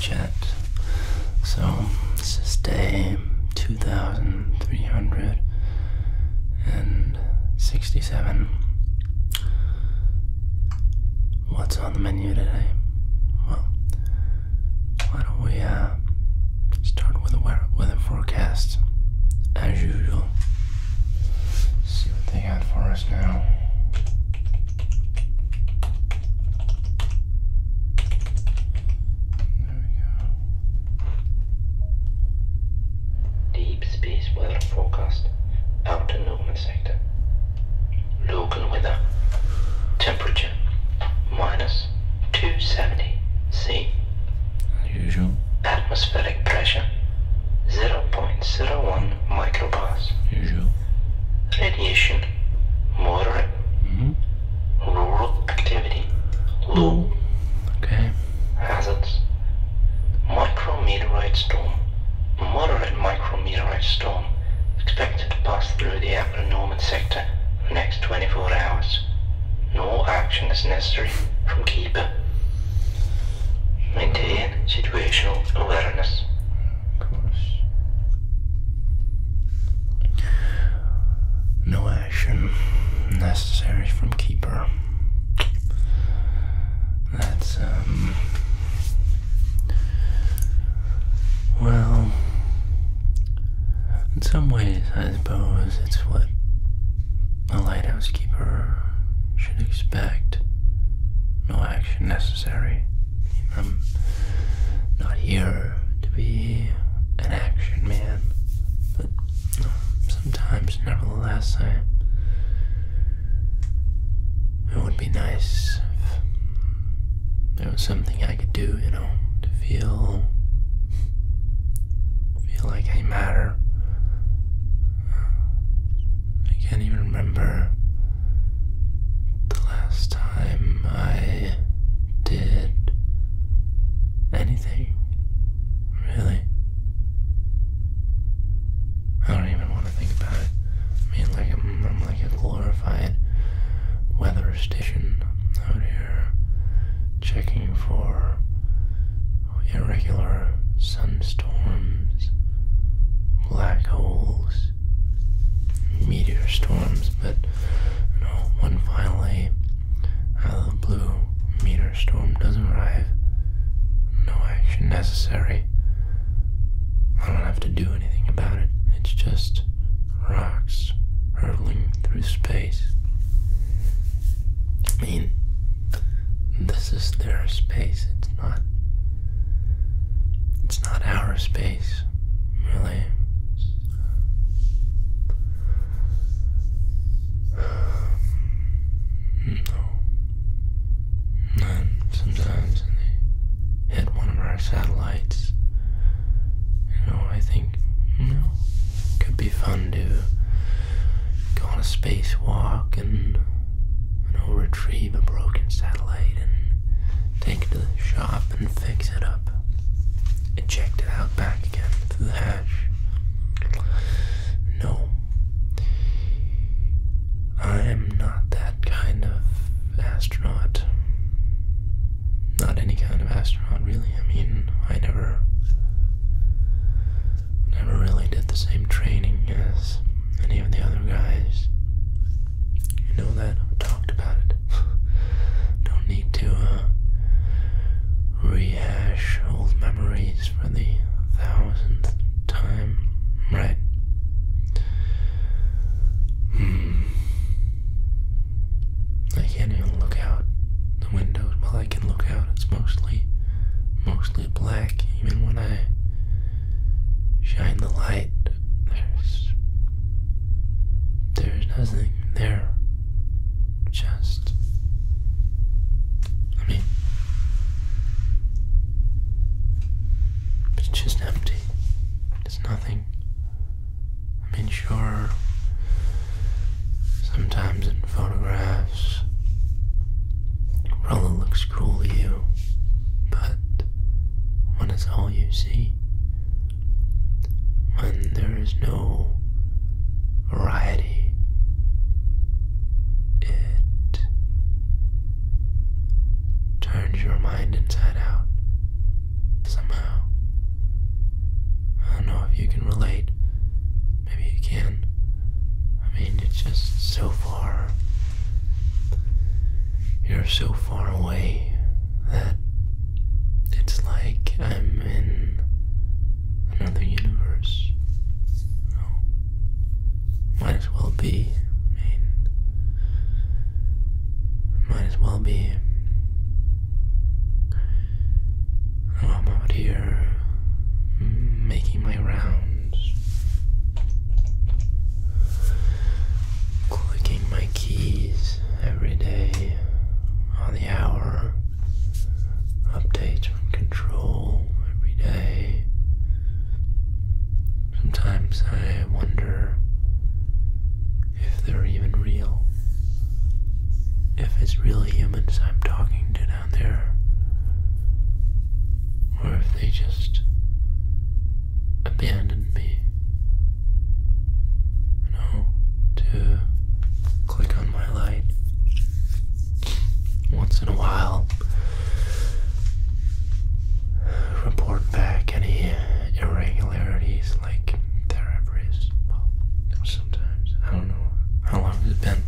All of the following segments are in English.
Chat. So this is day two thousand three hundred and sixty-seven. What's on the menu today? Well, why don't we uh, start with a weather forecast as usual? see what they got for us now. There we go. Deep space weather forecast afternoon sector. Local weather. Temperature minus 270 C. Unusual. Atmospheric pressure 0.01 microbars. Usual. Radiation moderate. -hmm. Rural activity low. Ooh. Okay. Hazards micrometeorite storm. Moderate micro meteorite storm expected to pass through the Appomattox sector for the next 24 hours. No action is necessary from Keeper. Maintain situational awareness. Of course. No action necessary from Keeper. That's, um. Well. In some ways, I suppose it's what a lighthouse keeper should expect. No action necessary. I'm not here to be an action man, but sometimes, nevertheless, I it would be nice if there was something I could do, you know, to feel feel like I matter. I can't even remember the last time I did anything, really. I don't even want think about it. I mean, like I'm, like a glorified weather station out here, checking for irregular sunstorms, black holes, meteor storms, but you when finally out of the blue meteor storm does not arrive, no action necessary. I don't have to do anything about it. It's just rocks hurtling through space. I mean, this is their space. It's not. It's not our space, really. And sometimes they hit one of our satellites, you know, I think, you know, it could be fun to go on a spacewalk and, you know, retrieve a broken satellite and take it to the shop and fix it up. and Eject it out back again through the hatch. No, I am not that kind of astronaut. Not any kind of astronaut, really. I mean, I never. Never really did the same training as any of the other guys. You know that. I've talked about it. Don't need to uh, rehash old memories for the thousandth time, right? Hmm. I can't even look out the windows. Well, I can look out. It's mostly, mostly black. Even when I shine the light, there's, there's nothing there. Just, I mean, it's just empty. There's nothing. I mean, sure, sometimes in photographs, Rolla looks cool to you, but when it's all you see, when there is no variety, it turns your mind inside out somehow. I don't know if you can relate. Maybe you can. I mean, it's just so far. You're so far away that it's like I'm in another universe. Might as well be. I mean, might as well be. Oh, I'm out here mm, making my rounds, clicking my keys every day on the hour, updates from control every day. Sometimes I wonder if they're even real. If it's real humans I'm talking to down there. Or if they just abandoned me. You know, to click on my light once in a while report back any irregularities like there Well, sometimes. I don't know. How long has it been?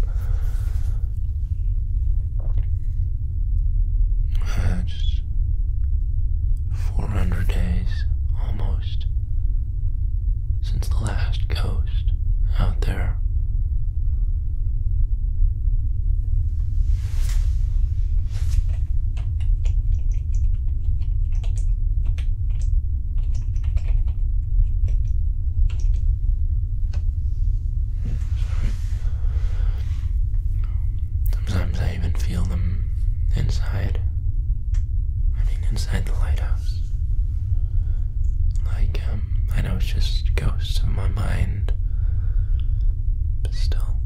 Uh, just 400 days almost since the last ghost out there Sometimes I even feel them inside. I mean, inside the lighthouse. Like, um, I know it's just ghosts of my mind, but still.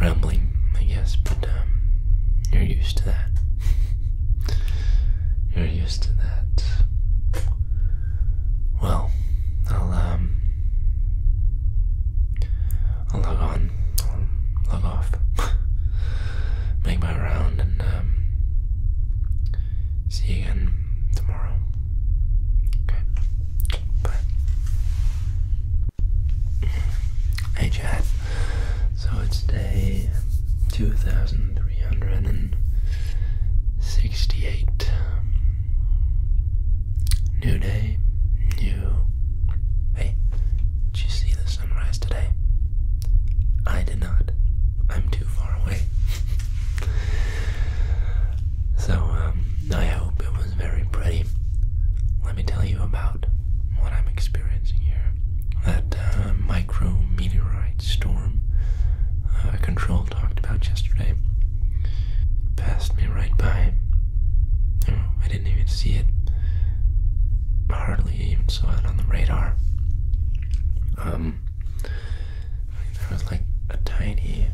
Rambling, I guess, but um, you're used to that. you're used to that. Well, I'll um I'll log on. I'll log off. Make my round and um, see you again tomorrow. Okay. Bye. Hey chat. So it's day two thousand three hundred and sixty-eight um, New day, new. Hey, did you see the sunrise today? I did not. I'm too far away. so, um, I hope it was very pretty. Let me tell you about what I'm experiencing here. That uh, micro meteorite storm uh, control talked about yesterday. Passed me right by. I didn't even see it. Hardly even saw it on the radar. Um, there was like a tiny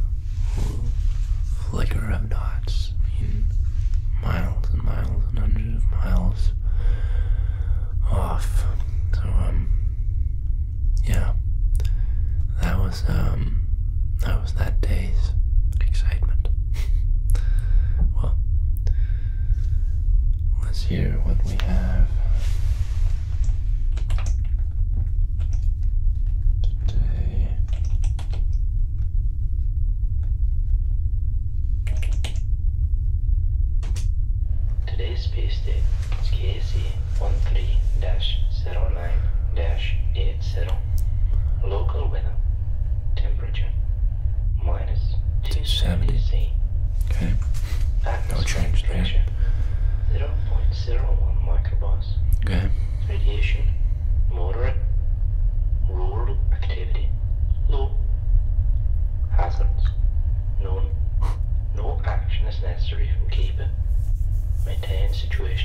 flicker of dots. I miles and miles and hundreds of miles off. So um, yeah, that was um that was that day's excitement. well, let's hear what we have today. Today's space date is KC13-0. 09-80. Local weather. Temperature. Minus 270 C. Okay. No Pressure. 0.01 microbars. Okay. Radiation. Moderate. Rural activity. Low. Hazards. None. No action is necessary from keeper. Maintain situation.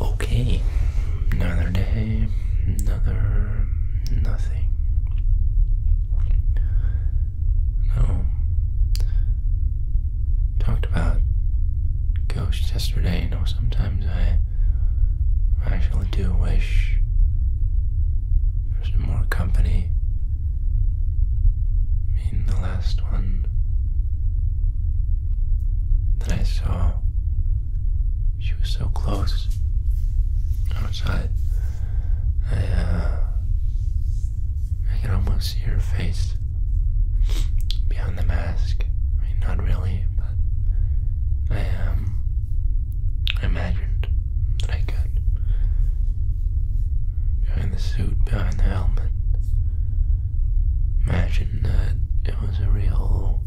Okay, another day, another nothing. No. Talked about ghosts yesterday, you know, sometimes I actually do wish for some more company mean the last one that I saw. She was so close outside. I, uh, I can almost see her face behind the mask. not really, but I am. Um, I imagined that I could. Behind the suit, behind the helmet. Imagine that it was a real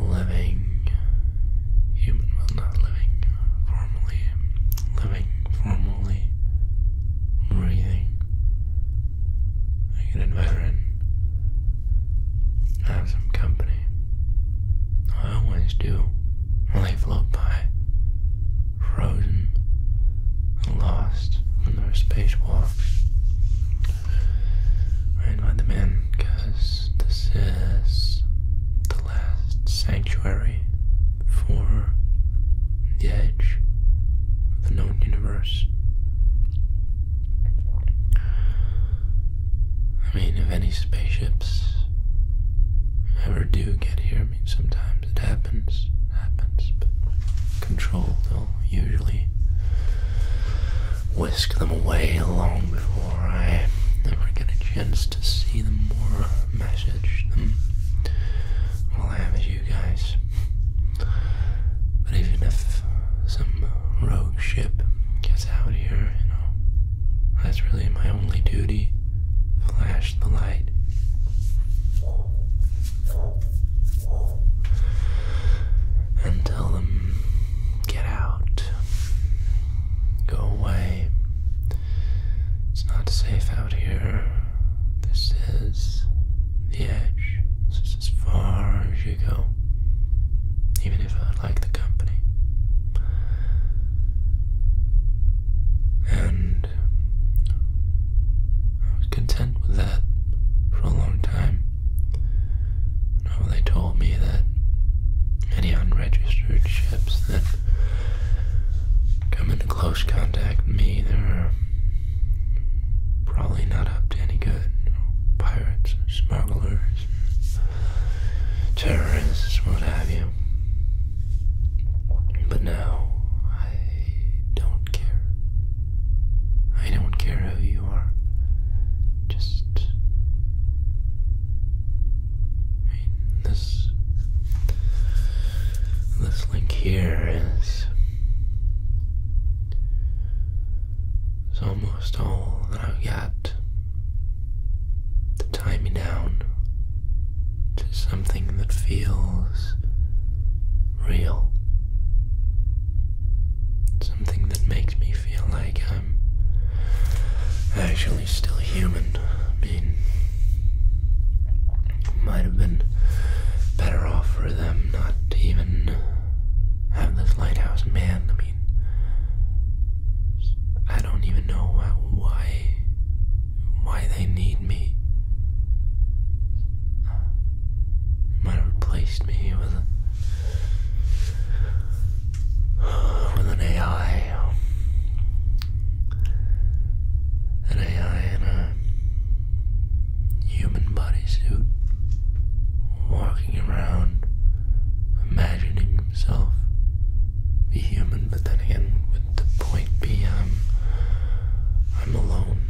living human, not living, formally, living, formally, breathing, like an veteran. I have some company. I always do They float by frozen and lost in there are spacewalks. I invite them because this is the last sanctuary for the edge of the known universe. I mean, if any spaceships ever do get here, I mean, sometimes it happens, it happens, but control, they'll usually whisk them away long before I ever get a chance to see them or message them. All I have is you guys. But even if some rogue ship gets out here, you know, that's really my only duty. Flash the light. And tell them, get out. Go away. It's not safe out here. This is the edge. This as far as you go. Even if I like the company. And I was content with that for a long time. Now they told me that any unregistered ships that come into close contact with me, they're probably not up to any good. pirates, smugglers, terrorists, what have you. But now, I don't care. I don't care who you are. Just. this. This link here is. almost all that I've got to tie me down to something that feels real. Something that makes me feel like I'm actually still human. I mean, might have been better off for them not even have this lighthouse man. I don't even know why why they need me. might have replaced me with a, with an AI, an AI in a human bodysuit, walking around, imagining himself be human, but then again, would the point be I'm, um, I'm alone?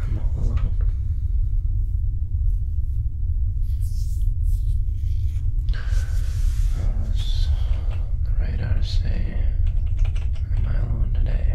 I'm all alone. the radar to am I alone today?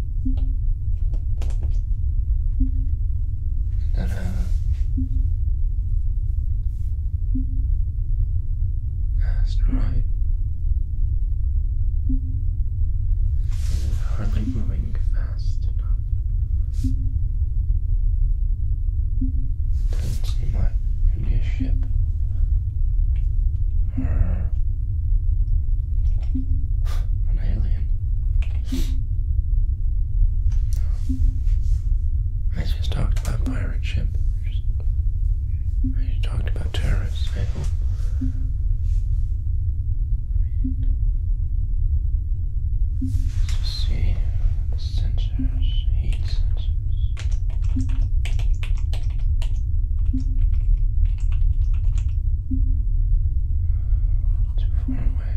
And, uh, that's right. It's hardly moving fast enough. Doesn't seem like it could be a ship. An alien. I just talked about pirate ship. I just talked about terrorists, I hope. let's see the sensors, heat sensors too far away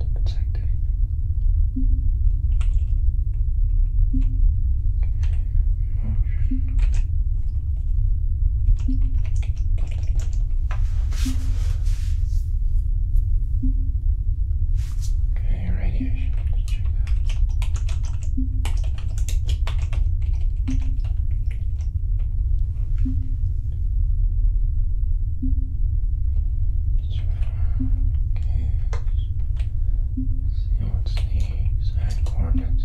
to protect anything. Motion. Okay, radiation. Let's check that see what's the exact coordinates.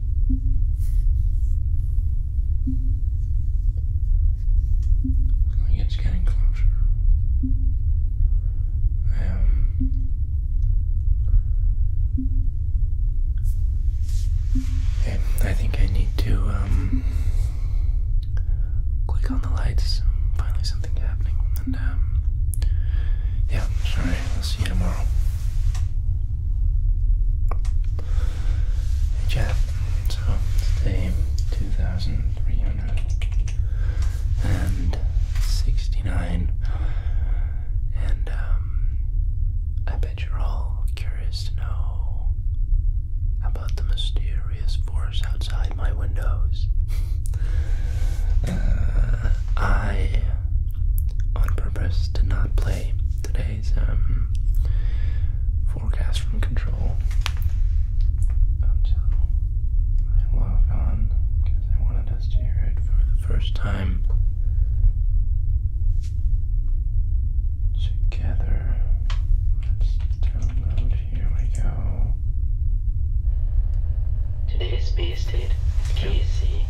Like it's getting closer. Um, I, think I need to um, click on the lights. Finally, something's happening. And um, yeah, sorry. I'll see you tomorrow. Jab. So today, two thousand three hundred and sixty-nine, and um, I bet you're all curious to know about the mysterious force outside my windows. Uh, I, on purpose, did not play today today's um, forecast from control I logged on because I wanted us to hear it for the first time together. Let's download. Here we go. Today's base date KC13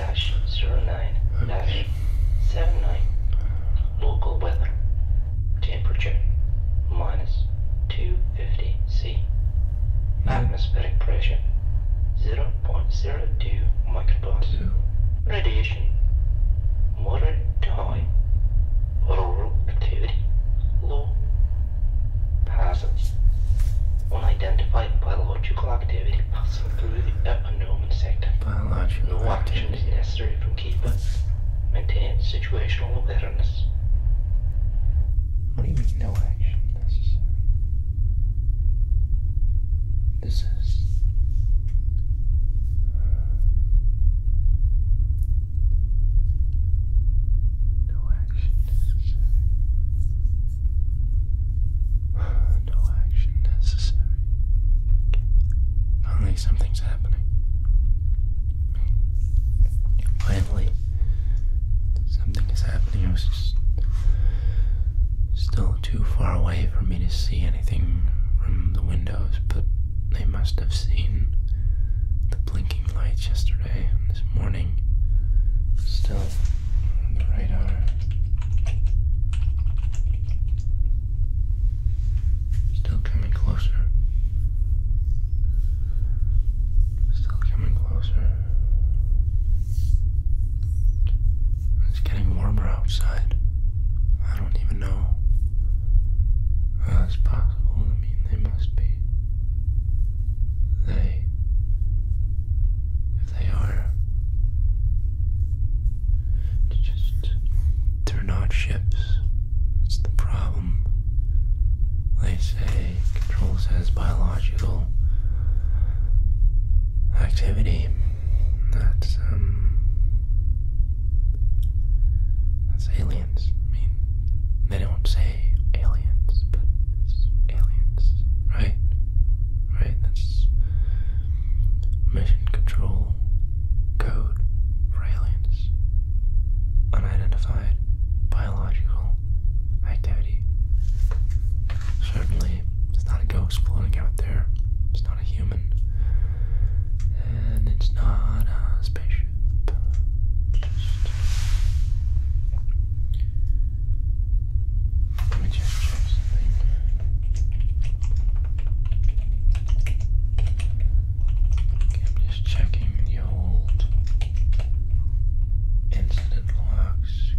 dash zero nine dash seven nine. Local weather. Temperature minus two fifty C. Mm-hmm. Atmospheric pressure zero point zero two microbars. Radiation moderate high. Auroral activity low. Hazards unidentified biological activity passing through the upper Norman sector. No action is necessary from keepers. Maintain situational awareness. What do you mean no action necessary? This is... No action necessary. No action necessary. Finally, something's happening. Finally, something is happening. I was just still too far away for me to see anything from the windows, but they must have seen the blinking lights yesterday and this morning. Still on the radar. Still coming closer. Still coming closer. It's getting warmer outside. I don't even know how possible. I mean, they must be. They they are, it's just they're not ships. That's the problem. They say control says biological activity. That's um that's aliens. I mean, they don't say aliens, but aliens, right? right? That's mission control code for aliens. Unidentified biological activity. Certainly, it's not a ghost floating out there. It's not a human. And it's not a spaceship. Let me just change something. I'm just checking the old incident logs.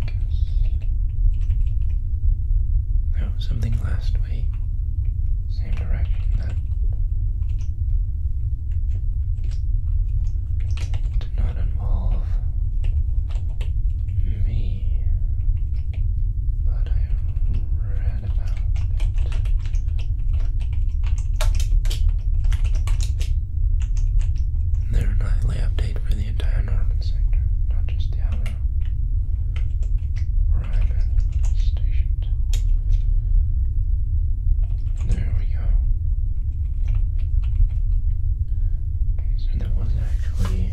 There something last week. Same direction that did not involve me, but I read about it. Their nightly update for the entire Norman sector, not just the Alamo, where I'm stationed. There we go so that was actually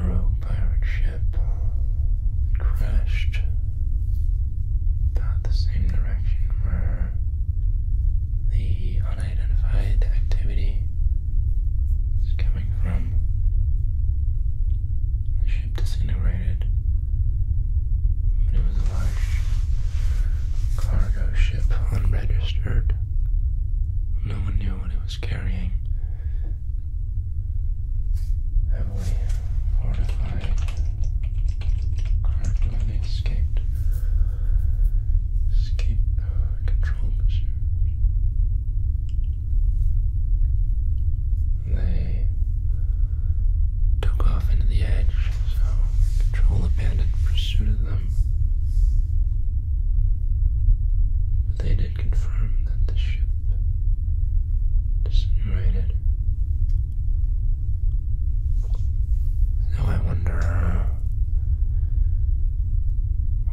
a rogue pirate ship that crashed about the same direction where the unidentified activity is coming from. The ship disintegrated, but it was a large cargo ship unregistered. No one knew what it was carrying. Heavily fortified cargo escaped. Escape control position. They took off into the edge, so control abandoned pursuit of them them. They did confirm that the ship disintegrated. So I wonder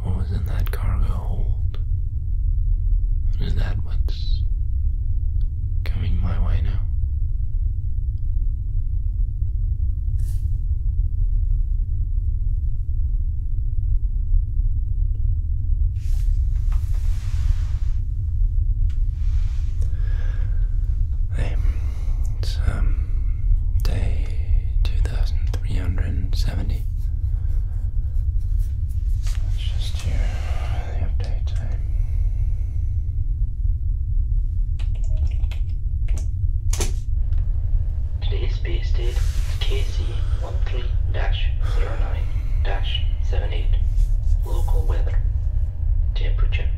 what was in that cargo hold? Is that what's coming my way now? Hey, it's um, day two thousand three hundred seventy. It's just here update time. Today's space date KC13-09-78. Local weather. Temperature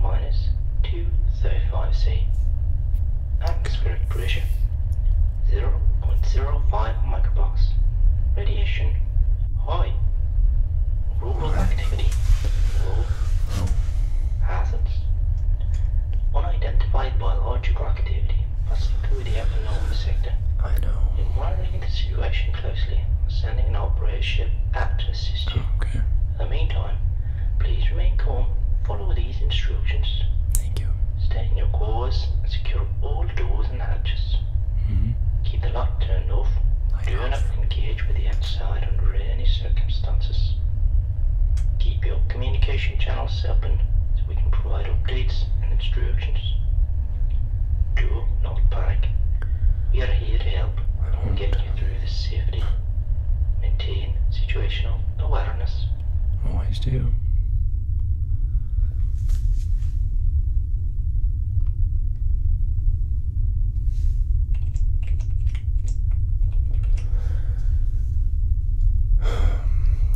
minus 235 C. Atmospheric pressure 0.05 microbars. Radiation high. Rural activity hazards. Unidentified biological activity has included the unknown sector. I know. We're monitoring the situation closely, sending an operator ship out to assist you. Okay. In the meantime, please remain calm, follow these instructions. Thank you. Stay in your course and secure all doors and hatches. -hmm. Keep the lock turned off. I Do have. not engage with the outside under any circumstances. Keep your communication channels open so we can provide updates and instructions. Do not panic. We are here to help and get you through this safely. Maintain situational awareness. Always do.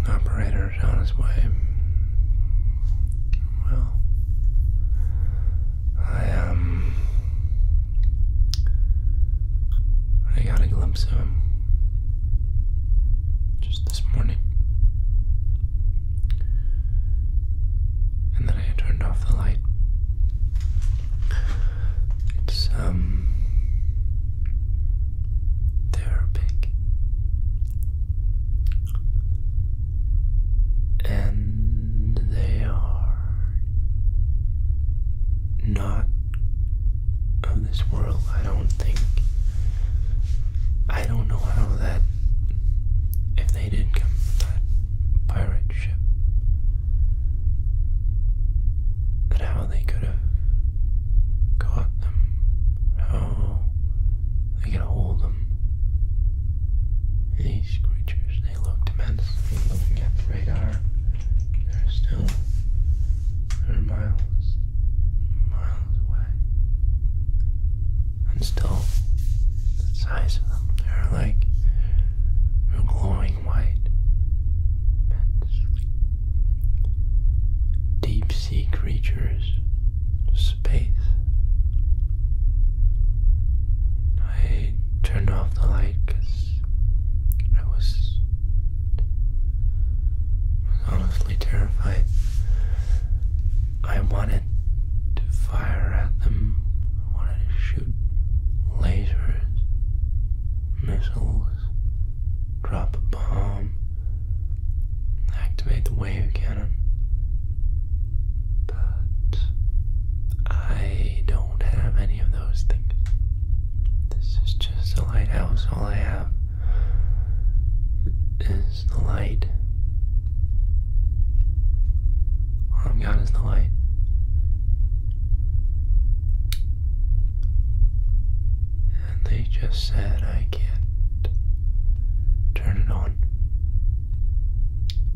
Operator's on his way. Well, I, um, I got a glimpse of him just this morning. And then I turned off the light. It's um therapeutic and they are not of this world, I don't think. I don't know how that they did come from that pirate ship. And how they could have caught them, how they could hold them. These creatures, they looked immense. Looking at the radar, they're still they're miles, miles away. And still, the size of them, they're like glowing white vents. Deep sea creatures, space. I turned off the light I was honestly terrified. I wanted to fire at them wanted to shoot lasers, missiles, drop a bomb, activate the wave cannon. But I don't have any of those things. This is just a lighthouse. All I have is the light or I'm gone is the light. And they just said I can't turn it on.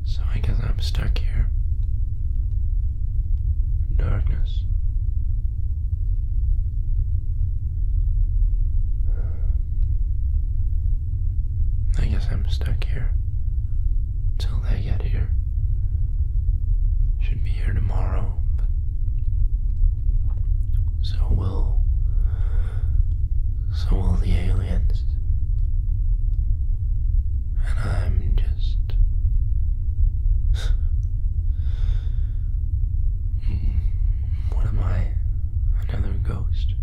So I guess I'm stuck here. darkness. I guess I'm stuck here till they get here. Should be here tomorrow, so will so will the aliens. And I'm just what am I? Another ghost.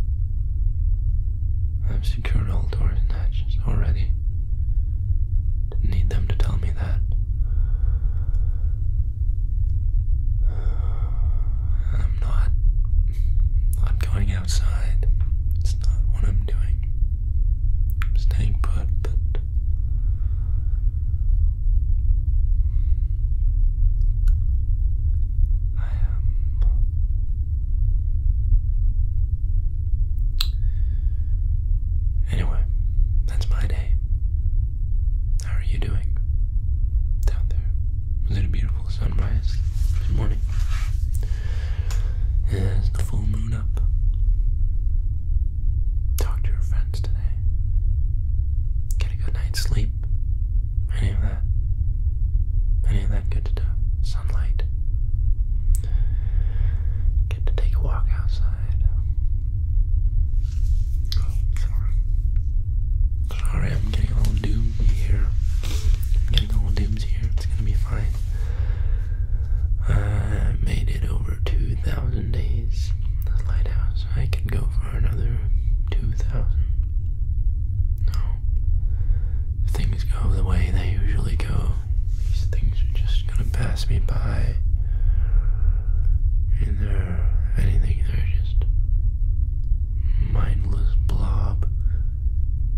I've secured all doors and hatches already. Didn't need them to tell me that. I'm not not going outside. It's not what I'm doing. I'm staying put, but I am Anyway, that's my day. How are you doing? Down there. Was it a beautiful sunrise this morning? Is the full moon up? Talk to your friends today. Get a good night's sleep. Any of that. Any of that good stuff. Sunlight. Get to take a walk outside. sorry. Sorry, I'm getting all little doomed here. getting a doomed here. It's gonna be fine. I made it over 2,000 days. The lighthouse. I can go for another 2,000. No things go the way they usually go. These things are just gonna pass me by. And they're anything, they're just mindless blob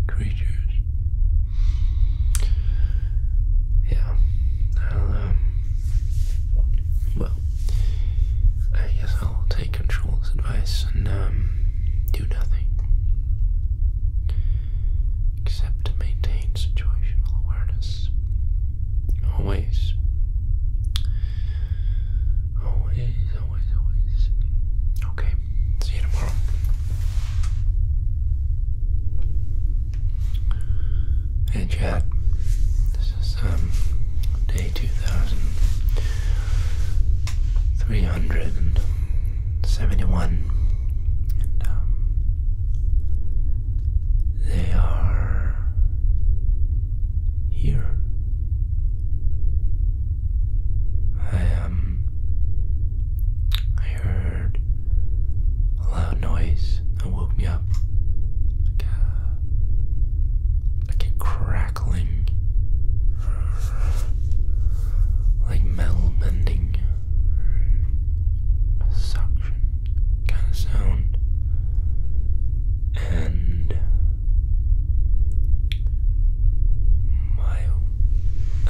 creatures. Yeah, well, I guess I'll take control's advice and, um, do nothing except to maintain situational awareness. Always. Always, always, always. Okay, see you tomorrow. Hey chat, this is um day two thousand three hundred 71. Um, they are here. I, um, I heard a loud noise that woke me up. Like a, like a crackling like metal bending, a suction kind of sound, and my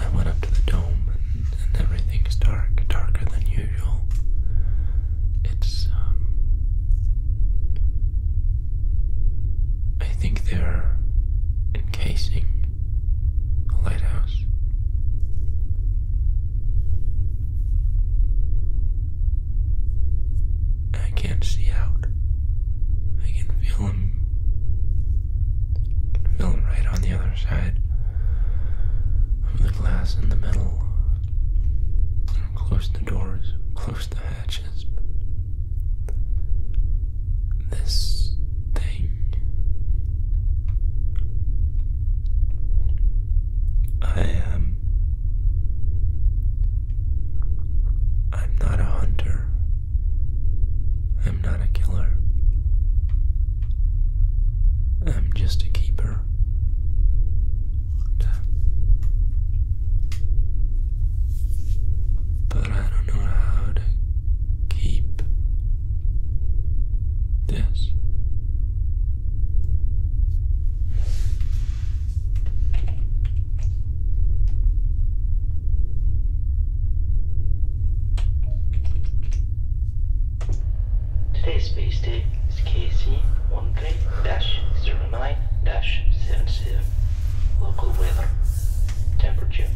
I went up to the dome and, everything's dark, darker than usual. It's um, I think they're encasing a lighthouse. I can't see out. I can feel him. feel him right on the other side of the glass in the middle. Close the doors, close the hatch this thing I am I'm not a hunter. I'm not a killer. I'm just a keeper but I don't know how to keep this. Today's space date is KC13-09-77. Local weather. Temperature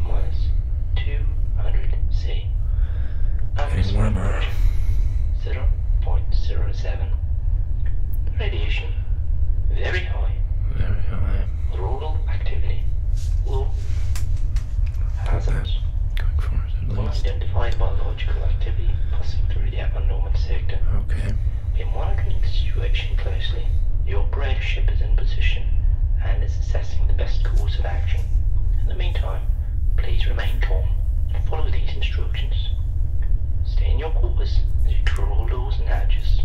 minus 200 C. Getting warmer. 0.07. Radiation very high. Very high. Rural activity low. Hazards. Going forward at least. Unidentified biological activity passing through the abnormal sector. Okay. We are monitoring the situation closely. Your bridge ship is in position and is assessing the best course of action. In the meantime, please remain calm and follow these instructions. Stay in your quarters as you draw doors and hatches.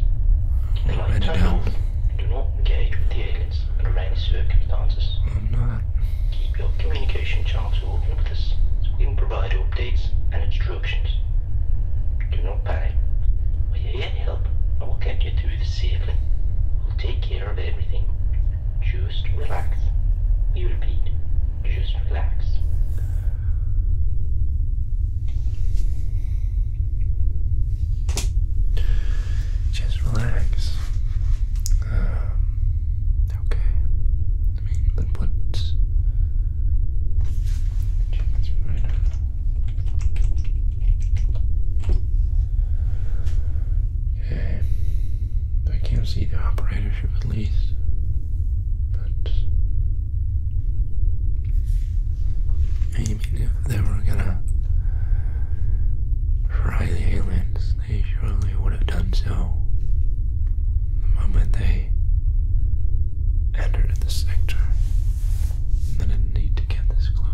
The lights turned Do not engage with the aliens under any circumstances. I'm not. Keep your communication channels open with us so we can provide updates and instructions you're not buying. Will you any help? I will get you through this safely. We'll take care of everything. Just relax. We repeat, just relax. Just relax. Um, okay. I mean, but what? Right now. I can't see the operatorship at least. But I mean if they were gonna try the aliens, they surely would have done so. The moment they entered in the sector. I didn't need to get this close.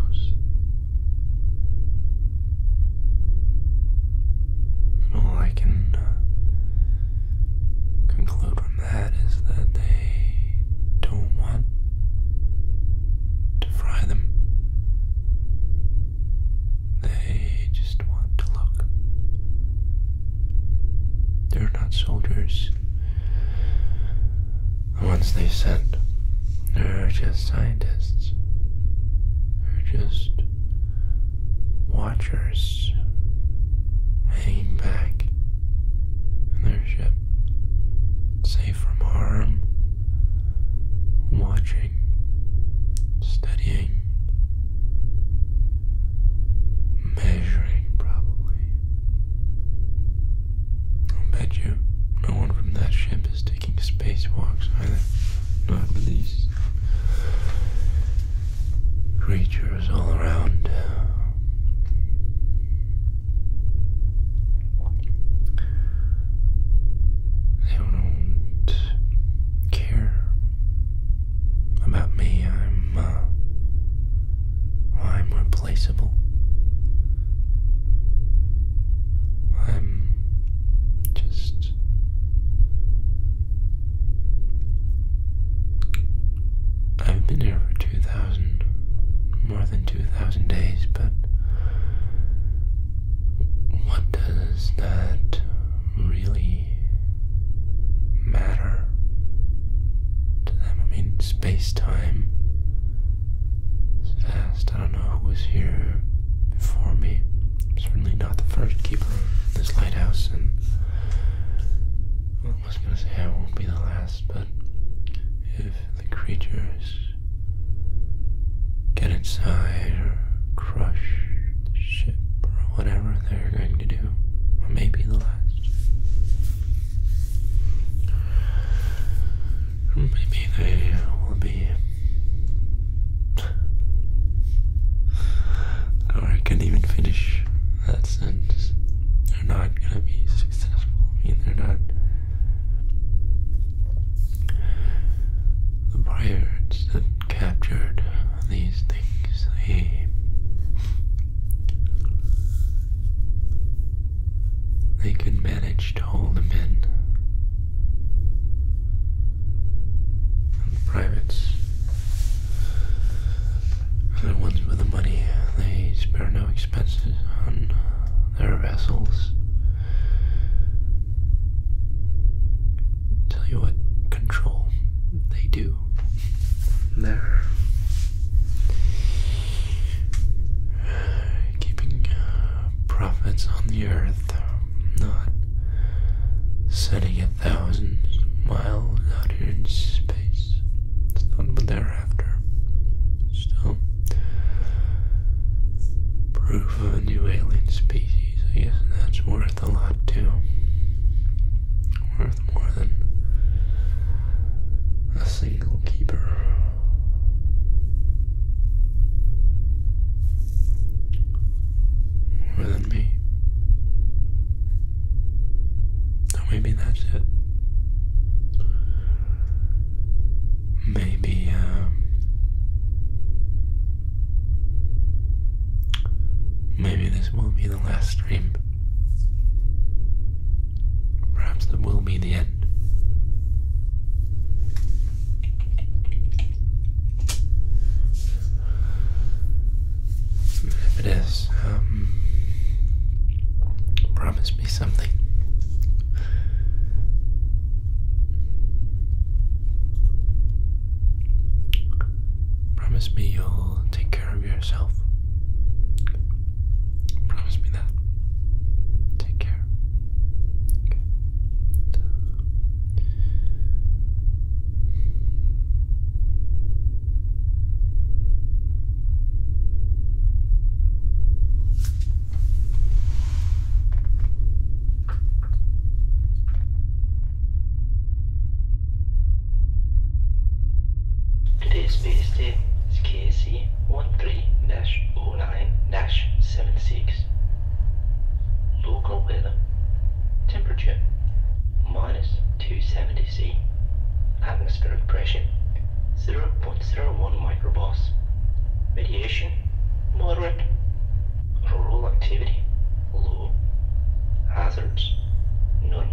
all I can uh, conclude from that is that they don't want to fry them. They just want to look. They're not soldiers. Once they said they're just scientists, they're just watchers hanging back in their ship, safe from harm, watching, studying, measuring probably, I'll bet you no one from that ship is taking spacewalks either. Not with these creatures all around. They don't care about me. I'm, uh, I'm Replaceable. I'm just I've been here for 2,000, more than 2,000 days, but what does that really matter? to them. I mean, space time is vast. I don't know who was here before me. Certainly not the first keeper of this lighthouse, and well, I was gonna say I won't be the last, but if the creatures get inside or crush the ship or whatever they're going to do, I may be the last. Maybe they will be. I can even finish that sentence. They're not gonna be successful. I mean, they're not. The pirates that captured these things, they they could manage to hold him in. And the privates, the ones with the money, they spare no expenses on their vessels. Tell you what, control they do there. Keeping uh, profits on the earth, not setting a thousand miles out here in space. It's not but thereafter, are Still, proof of a new alien species, I guess that's worth a lot too worth more than a single keeper. More than me. maybe that's it. Maybe, um, maybe this will be the last stream Perhaps that will be the end. If it is, um, promise me something. Promise me you'll take care of yourself. Promise me that. Take care. Today's base date is KC one three 13 9 six. Local weather, temperature minus 270 C, atmospheric pressure 0.01 microbars, radiation moderate, rural activity low, hazards none